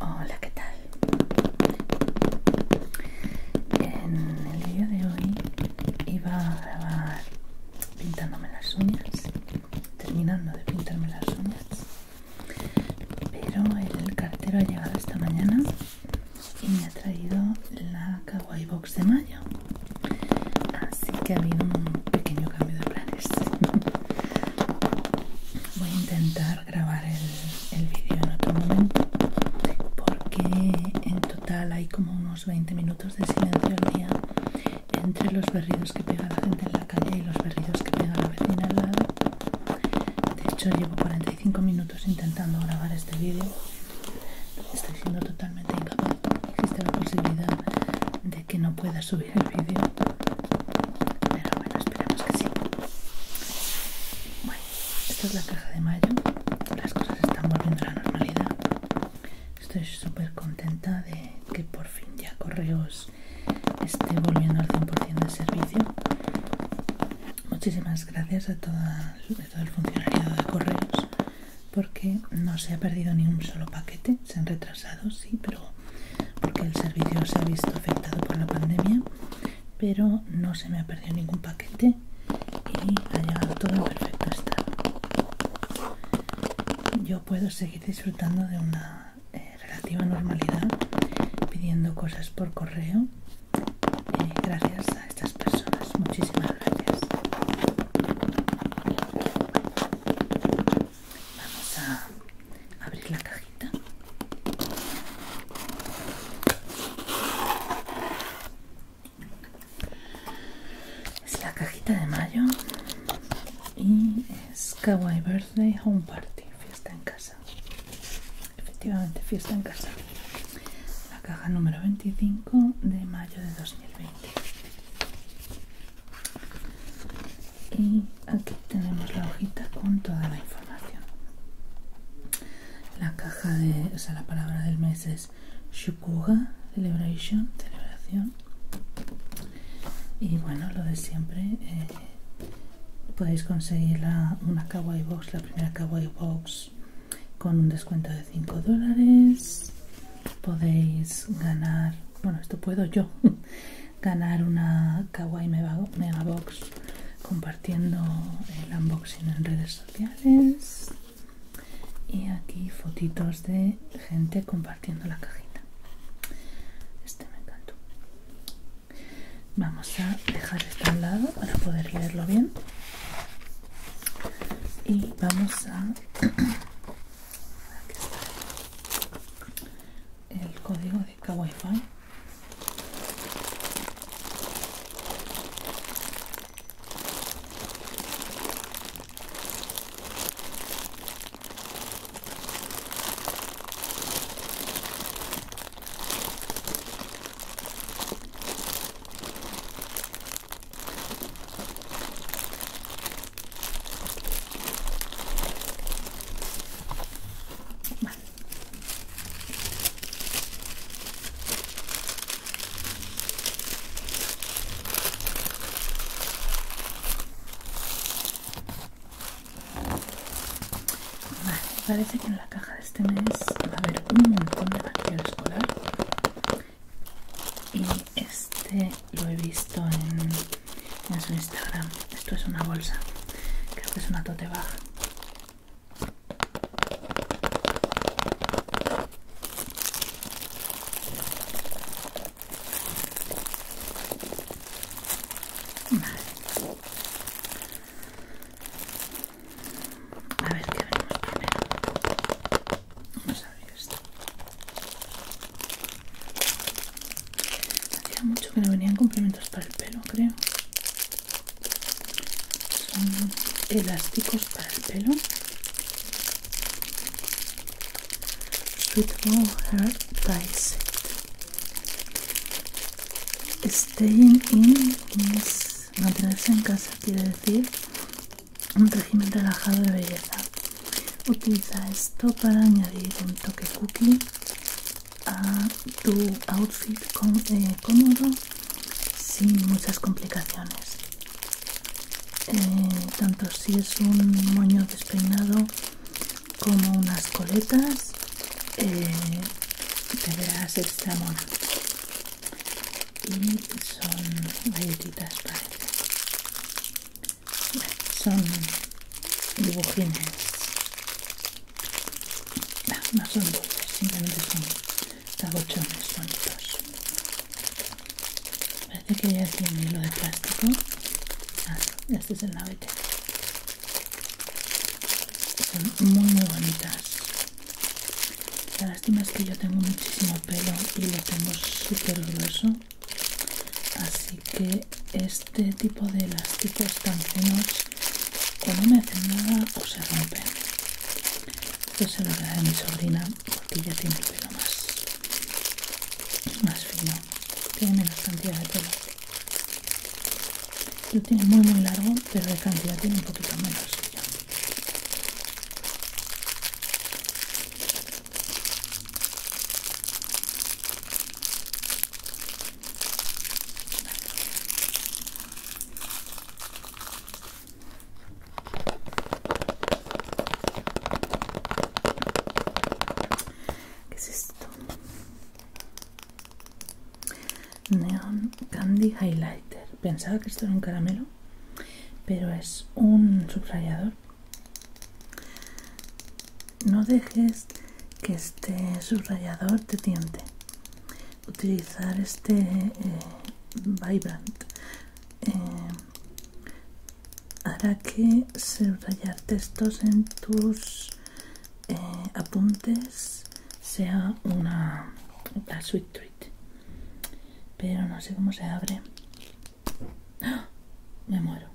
Hola, ¿qué tal? En el día de hoy iba a grabar pintándome las uñas, terminando de pintarme las uñas, pero el cartero ha llegado esta mañana y me ha traído la Kawaii Box de mayo. Así que ha habido un pequeño cambio de planes. Voy a intentar grabar el, vídeo en otro momento porque en total hay como unos 20 minutos de silencio al día entre los berridos que pega la gente en la calle y los berridos que pega la vecina al lado. De hecho llevo 45 minutos intentando grabar este vídeo Estoy siendo totalmente incapaz. Existe la posibilidad de que no pueda subir el vídeo. Pero bueno, esperemos que sí. Bueno, esta es la caja de mayo. Las cosas están volviendo a la normalidad. Estoy súper contenta de que por fin ya correos esté volviendo al 100% de servicio. Muchísimas gracias a, todo el funcionariado de correos porque no se ha perdido ni un solo paquete, se han retrasado, sí, pero porque el servicio se ha visto afectado por la pandemia, pero no se me ha perdido ningún paquete y ha llegado todo en perfecto estado. Yo puedo seguir disfrutando de una eh, relativa normalidad pidiendo cosas por correo eh, gracias a estas personas. Muchísimas gracias. Vamos a abrir la cajita. Es la cajita de mayo y es Kawaii Birthday Home Party, fiesta en casa. Efectivamente, fiesta en casa la caja número 25 de mayo de 2020 y aquí tenemos la hojita con toda la información la caja de o sea la palabra del mes es shukuga celebration celebración y bueno lo de siempre eh, podéis conseguir una kawaii box la primera kawaii box con un descuento de 5 dólares podéis ganar bueno esto puedo yo ganar una kawaii Box compartiendo el unboxing en redes sociales y aquí fotitos de gente compartiendo la cajita este me encantó vamos a dejar esto al lado para poder leerlo bien y vamos a el código de Fi. Vale. Vale, parece que en la caja de este mes va a haber un montón de material escolar y este lo he visto en, su Instagram. Esto es una bolsa, creo que es una tote bag. A ver qué abrimos primero. Vamos a abrir esto. Hacía mucho que no venían complementos para el pelo, creo. Son elásticos para el pelo. Suitable heart dice. Staying in this mantenerse en casa quiere decir un régimen relajado de belleza. Utiliza esto para añadir un toque cookie a tu outfit eh, cómodo sin muchas complicaciones. Eh, tanto si es un moño despeinado como unas coletas, eh, te verás extra y son galletitas parece son dibujines no, no son dulces simplemente son tabochones bonitos parece que ya tiene hilo de plástico ah, este es el navete son muy muy bonitas la lástima es que yo tengo muchísimo pelo y lo tengo súper grueso. Así que este tipo de elásticos tan finos cuando no me hacen nada o se rompen. Esto se lo agradezco a mi sobrina porque ella tiene el pelo más, más fino. Tiene menos cantidad de pelo. Lo tiene muy muy largo, pero de cantidad tiene un poquito menos. ¿Qué es esto? Neon Candy Highlighter. Pensaba que esto era un caramelo, pero es un subrayador. No dejes que este subrayador te tiente. Utilizar este eh, Vibrant eh, hará que subrayar textos en tus eh, apuntes sea una, suite. Pero no sé cómo se abre. ¡Ah! Me muero.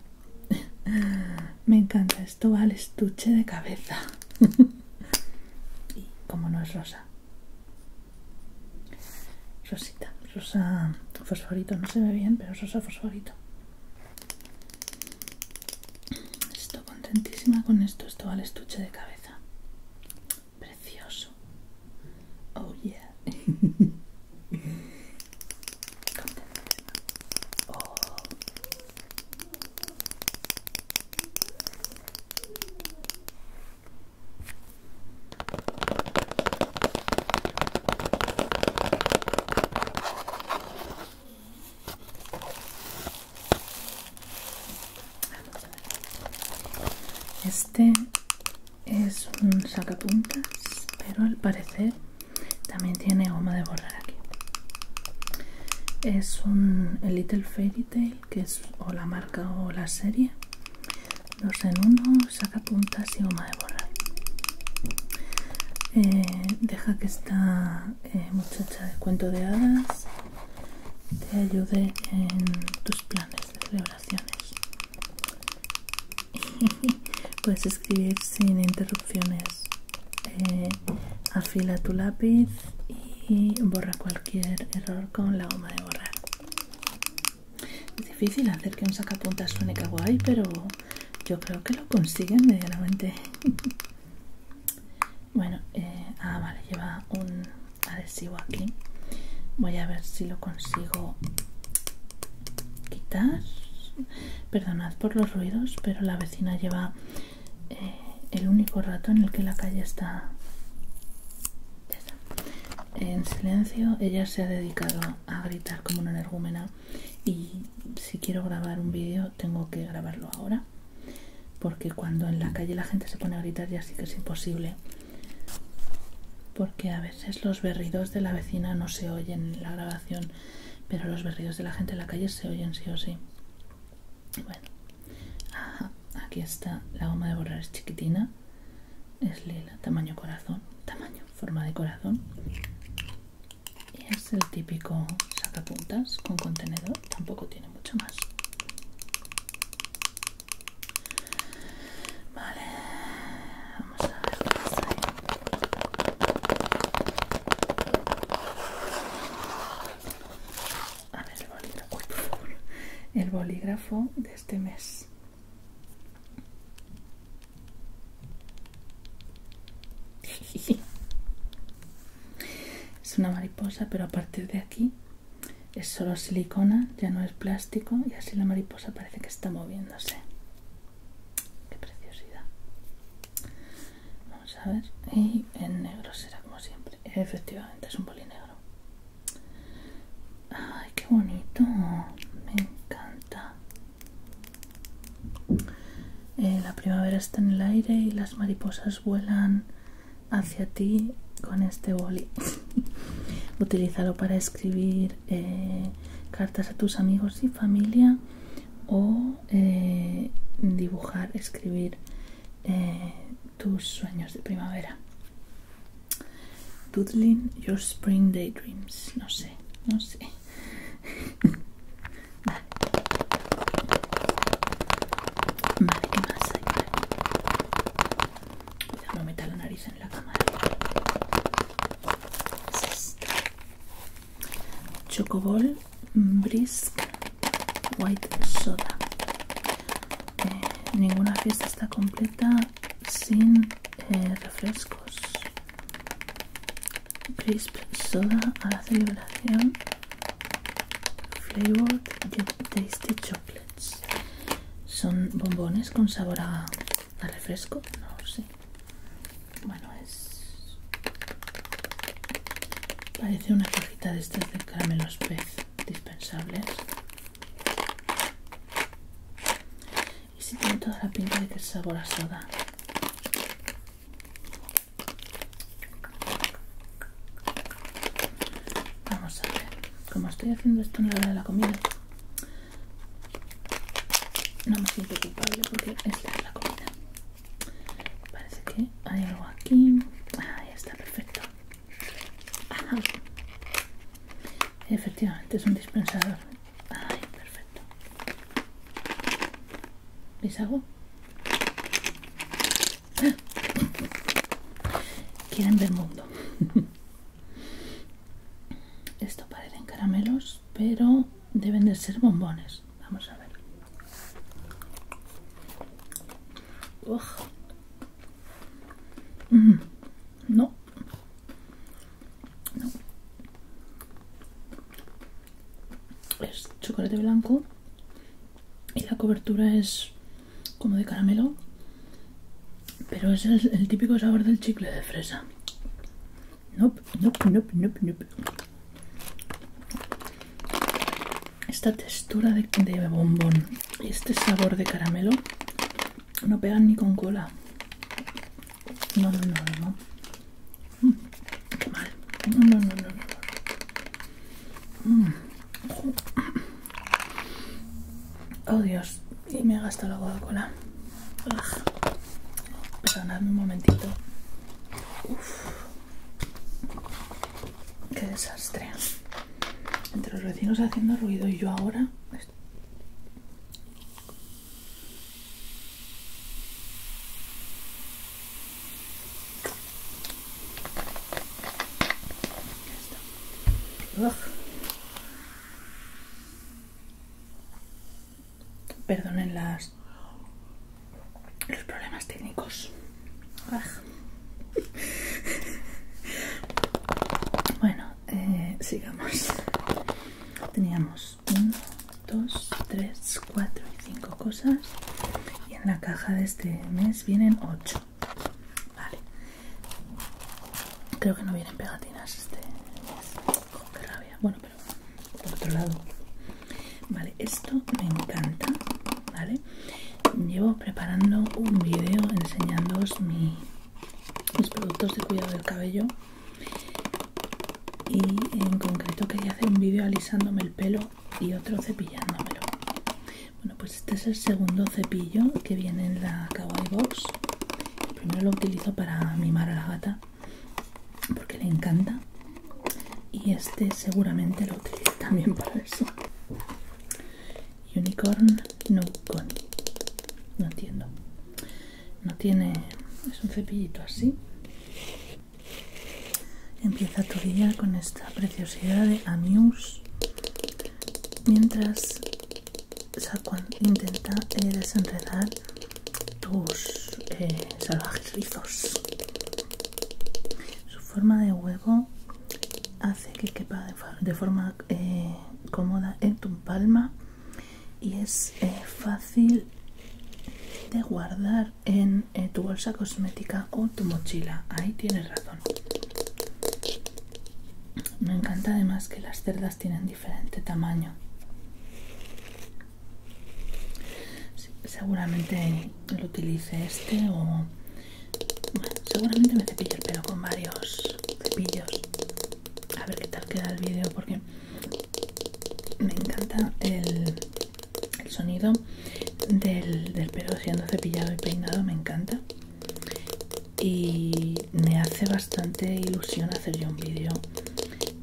Me encanta. Esto va al estuche de cabeza. y como no es rosa. Rosita. Rosa fosforito. No se ve bien, pero es rosa fosforito. Estoy contentísima con esto. Esto va al estuche de cabeza precioso. Oh yeah. Contentísima. Oh. Este es un sacapuntas, pero al parecer también tiene goma de borrar aquí. Es un el Little Fairy Tail, que es o la marca o la serie. Dos en uno, sacapuntas y goma de borrar. Eh, deja que esta eh, muchacha de cuento de hadas te ayude en tus planes de celebraciones. Puedes escribir sin interrupciones. Eh, afila tu lápiz y borra cualquier error con la goma de borrar. Es difícil hacer que un sacapuntas suene kawaii, pero yo creo que lo consiguen medianamente. Bueno, eh, ah, vale, lleva un adhesivo aquí. Voy a ver si lo consigo quitar. Perdonad por los ruidos, pero la vecina lleva eh, el único rato en el que la calle está en silencio. Ella se ha dedicado a gritar como una energúmena y si quiero grabar un vídeo tengo que grabarlo ahora porque cuando en la calle la gente se pone a gritar ya sí que es imposible porque a veces los berridos de la vecina no se oyen en la grabación pero los berridos de la gente en la calle se oyen sí o sí bueno aquí está la goma de borrar es chiquitina es lila tamaño corazón tamaño forma de corazón y es el típico sacapuntas con contenedor tampoco tiene mucho más. Vale, vamos a ver A ver bolígrafo, El bolígrafo de este mes. Es una mariposa, pero a partir de aquí es solo silicona, ya no es plástico y así la mariposa parece que está moviéndose. Qué preciosidad. Vamos a ver. Y en negro será como siempre. Efectivamente, es un polinegro. Ay, qué bonito. Me encanta. Eh, la primavera está en el aire y las mariposas vuelan hacia ti con este boli. Utilízalo para escribir eh, cartas a tus amigos y familia o eh, dibujar, escribir eh, tus sueños de primavera. Doodling your spring daydreams. No sé, no sé. Vale. ¿qué más hay? Vale. a meter la nariz en la cámara. Chocobol Brisk White Soda. Eh, ninguna fiesta está completa sin eh, refrescos. Crisp Soda a la celebración flavored tasty chocolates son bombones con sabor a, refresco no sé bueno es parece una cajita de estos de caramelos pez dispensables y si tiene toda la pinta de que es sabor a soda Vamos a ver, como estoy haciendo esto en la hora de la comida, no me siento culpable porque esta es la comida. Parece que hay algo aquí. Ahí está, perfecto. Efectivamente, es un dispensador. Ay, perfecto. ¿Veis algo? Quieren ver mundo. Esto parecen caramelos, pero deben de ser bombones. Vamos a ver. Mm, no. No es chocolate blanco y la cobertura es como de caramelo pero es el, típico sabor del chicle de fresa nope, nope, nope, nope, nope. esta textura de, de bombón y este sabor de caramelo no pegan ni con cola no, no, no, no mal. No, no, no, no. Oh Dios, y me he gastado la Coca-Cola. Perdonadme un momentito. Uf. Qué desastre. Entre los vecinos haciendo ruido y yo ahora... Perdonen las los problemas técnicos. Bueno, eh, sigamos. Teníamos uno, dos, tres, cuatro y cinco cosas. Y en la caja de este mes vienen 8 Vale. Creo que no vienen pegatinas este mes. Oh, qué rabia. Bueno, pero por otro lado. Vale, esto me encanta. Vale. Llevo preparando un vídeo enseñándoos mis productos de cuidado del cabello y en concreto quería hacer un vídeo alisándome el pelo y otro cepillándomelo. Bueno, pues este es el segundo cepillo que viene en la Kawaii Box. primero lo utilizo para mimar a la gata porque le encanta. Y este seguramente lo utilizo también para eso. Unicorn No Con. No entiendo. No tiene. Es un cepillito así. Empieza tu día con esta preciosidad de amius, mientras Saquon intenta eh, desenredar tus eh, salvajes rizos. Su forma de huevo hace que quepa de, forma eh, cómoda en tu palma y es fácil de guardar en eh, tu bolsa cosmética o tu mochila. Ahí tienes razón. Me encanta además que las cerdas tienen diferente tamaño. seguramente lo utilice este o... Bueno, seguramente me cepillo el pelo con varios cepillos. A ver qué tal queda el vídeo porque me encanta el el sonido del, pelo siendo cepillado y peinado me encanta y me hace bastante ilusión hacer yo un vídeo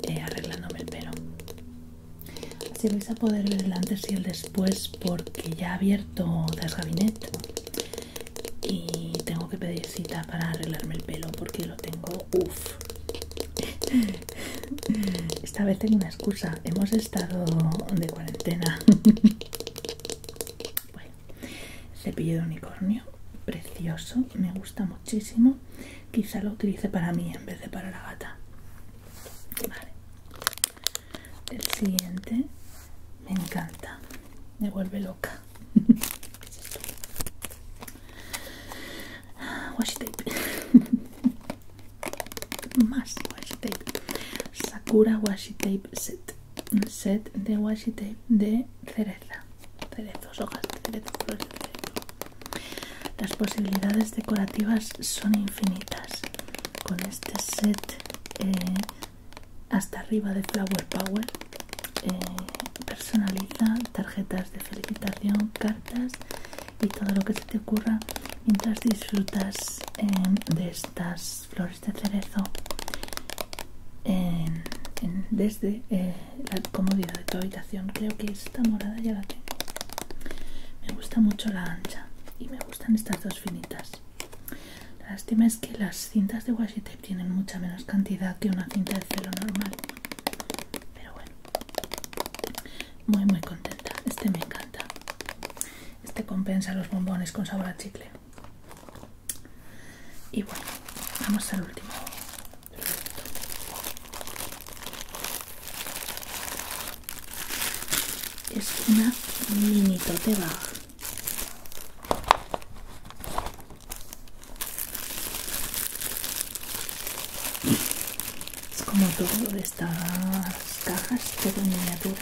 eh, arreglándome el pelo así vais a poder ver el antes y el después porque ya he abierto el gabinete y tengo que pedir cita para arreglarme el pelo porque lo tengo uff esta vez tengo una excusa. Hemos estado de cuarentena. bueno, cepillo de unicornio. Precioso. Me gusta muchísimo. Quizá lo utilice para mí en vez de para la gata. Vale. El siguiente me encanta. Me vuelve loca. más washi tape Sakura washi tape set set de washi tape de cereza cerezos, hojas de cerezo, las posibilidades decorativas son infinitas con este set eh, hasta arriba de Flower Power eh, personaliza tarjetas de felicitación, cartas y todo lo que se te ocurra mientras disfrutas em, de estas flores de cerezo em, desde eh, la comodidad de tu habitación. Creo que esta morada ya la tengo. Me gusta mucho la ancha y me gustan estas dos finitas. La lástima es que las cintas de washi tape tienen mucha menos cantidad que una cinta de celo normal. Pero bueno, muy muy contenta este me encanta este compensa los bombones con sabor a chicle y bueno vamos al último es una mini tote es como todo de estas cajas todo en miniatura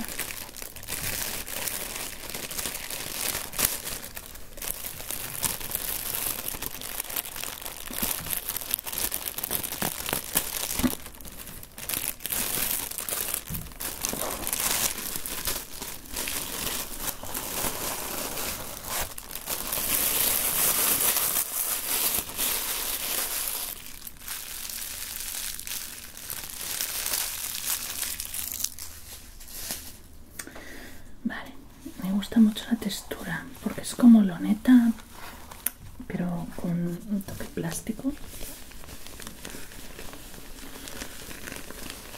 Vale, me gusta mucho la textura porque es como loneta, pero con un toque plástico.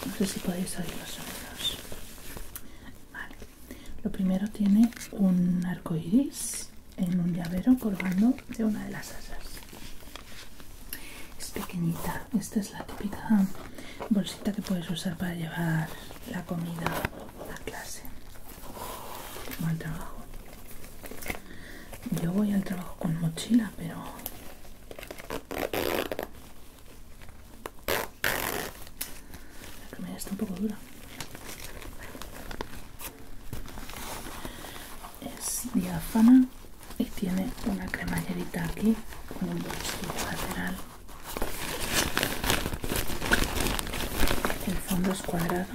No sé si podéis oír los sonidos. Vale. Lo primero tiene un arco iris en un llavero colgando de una de las asas. Es pequeñita. Esta es la típica bolsita que puedes usar para llevar la comida a clase o trabajo. Yo voy al trabajo con mochila, pero la está un poco dura. Es diáfana y tiene una cremallerita aquí con un bolsillo lateral. El fondo es cuadrado.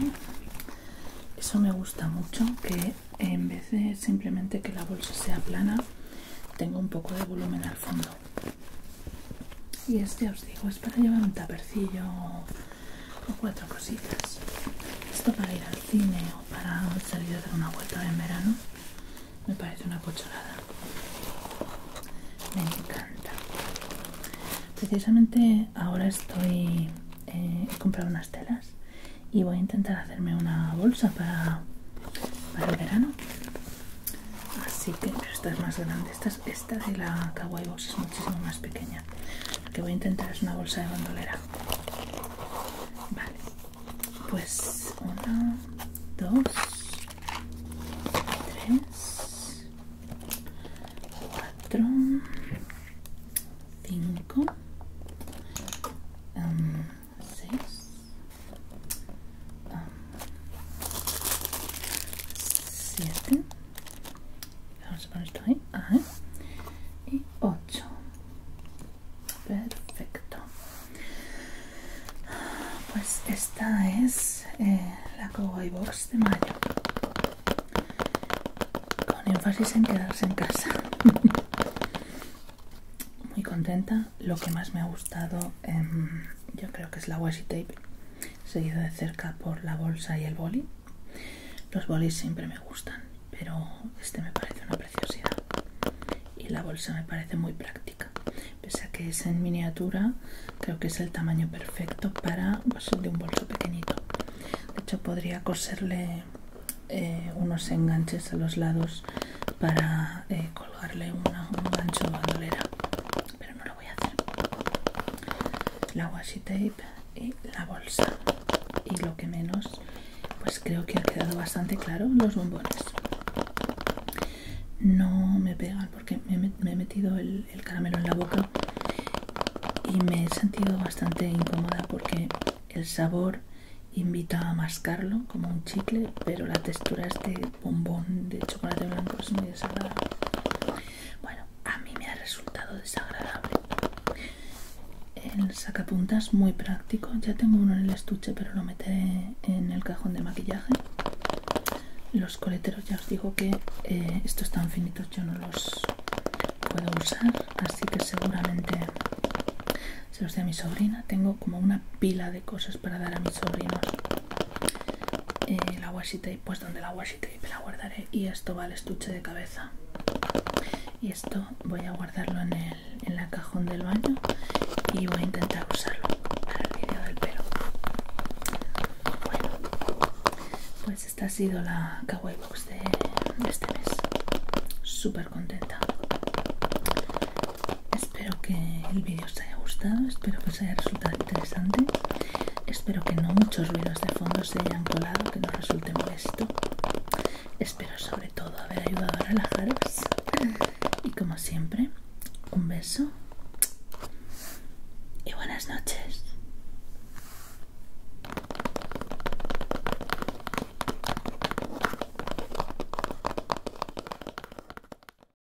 Eso me gusta mucho, que en vez de simplemente que la bolsa sea plana, tengo un poco de volumen al fondo y este os digo es para llevar un tapercillo o cuatro cositas esto para ir al cine o para salir a dar una vuelta en verano me parece una pocholada me encanta precisamente ahora estoy eh, comprando unas telas y voy a intentar hacerme una bolsa para, el verano así que pero esta es más grande esta de la Kawaii Box es muchísimo más pequeña que voy a intentar es una bolsa de bandolera vale pues una dos tres cuatro cinco em, seis em, 7 vamos a poner esto ahí y 8 perfecto pues esta es eh, la cowboy box de mayo con énfasis en quedarse en casa muy contenta lo que más me ha gustado Em, yo creo que es la washi tape seguido de cerca por la bolsa y el boli los bolis siempre me gustan pero este me parece una preciosidad y la bolsa me parece muy práctica pese a que es en miniatura creo que es el tamaño perfecto para de un bolso pequeñito de hecho podría coserle eh, unos enganches a los lados para eh, colgarle un gancho bandolera pero no voy a hacer la washi tape y la bolsa y lo que menos pues creo que ha quedado bastante claro los bombones no me pegan porque me, he metido el, caramelo en la boca y me he sentido bastante incómoda porque el sabor invita a mascarlo como un chicle pero la textura este bombón de chocolate blanco es muy desagradable. Bueno, a mí me ha resultado desagradable. El sacapuntas muy práctico. Ya tengo uno en el estuche, pero lo meteré en el cajón de maquillaje. Los coleteros ya os digo que eh, estos tan finitos yo no los puedo usar, así que seguramente se los dé a mi sobrina. Tengo como una pila de cosas para dar a mis sobrinos eh, la washi tape, pues donde la washi tape la guardaré y esto va al estuche de cabeza y esto voy a guardarlo en el en cajón del baño y voy a intentar usarlo para el vídeo del pelo bueno pues esta ha sido la kawaii box de, este mes súper contenta espero que el vídeo os haya gustado espero que os haya resultado interesante. Espero que no muchos ruidos de fondo se hayan colado, que no resulte molesto. Espero sobre todo haber ayudado a relajaros. Y como siempre, un beso y buenas noches.